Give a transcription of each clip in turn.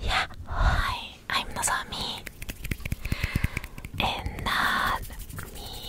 Yeah, hi, I'm Nozomi. And not me.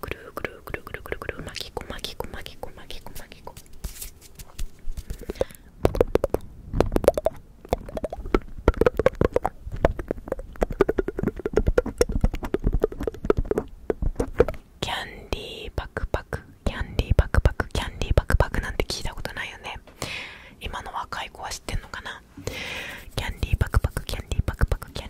くるくるくるくるくるぐる巻きこ巻きこ巻きこ巻きこ巻きこキャンディーパクパクキャンディーパクパクキャンディーパクパクなんて聞いたことないよね今の若い子は知ってんのかなキャンディーパクパクキャンディーパクパクキャンディーバクバク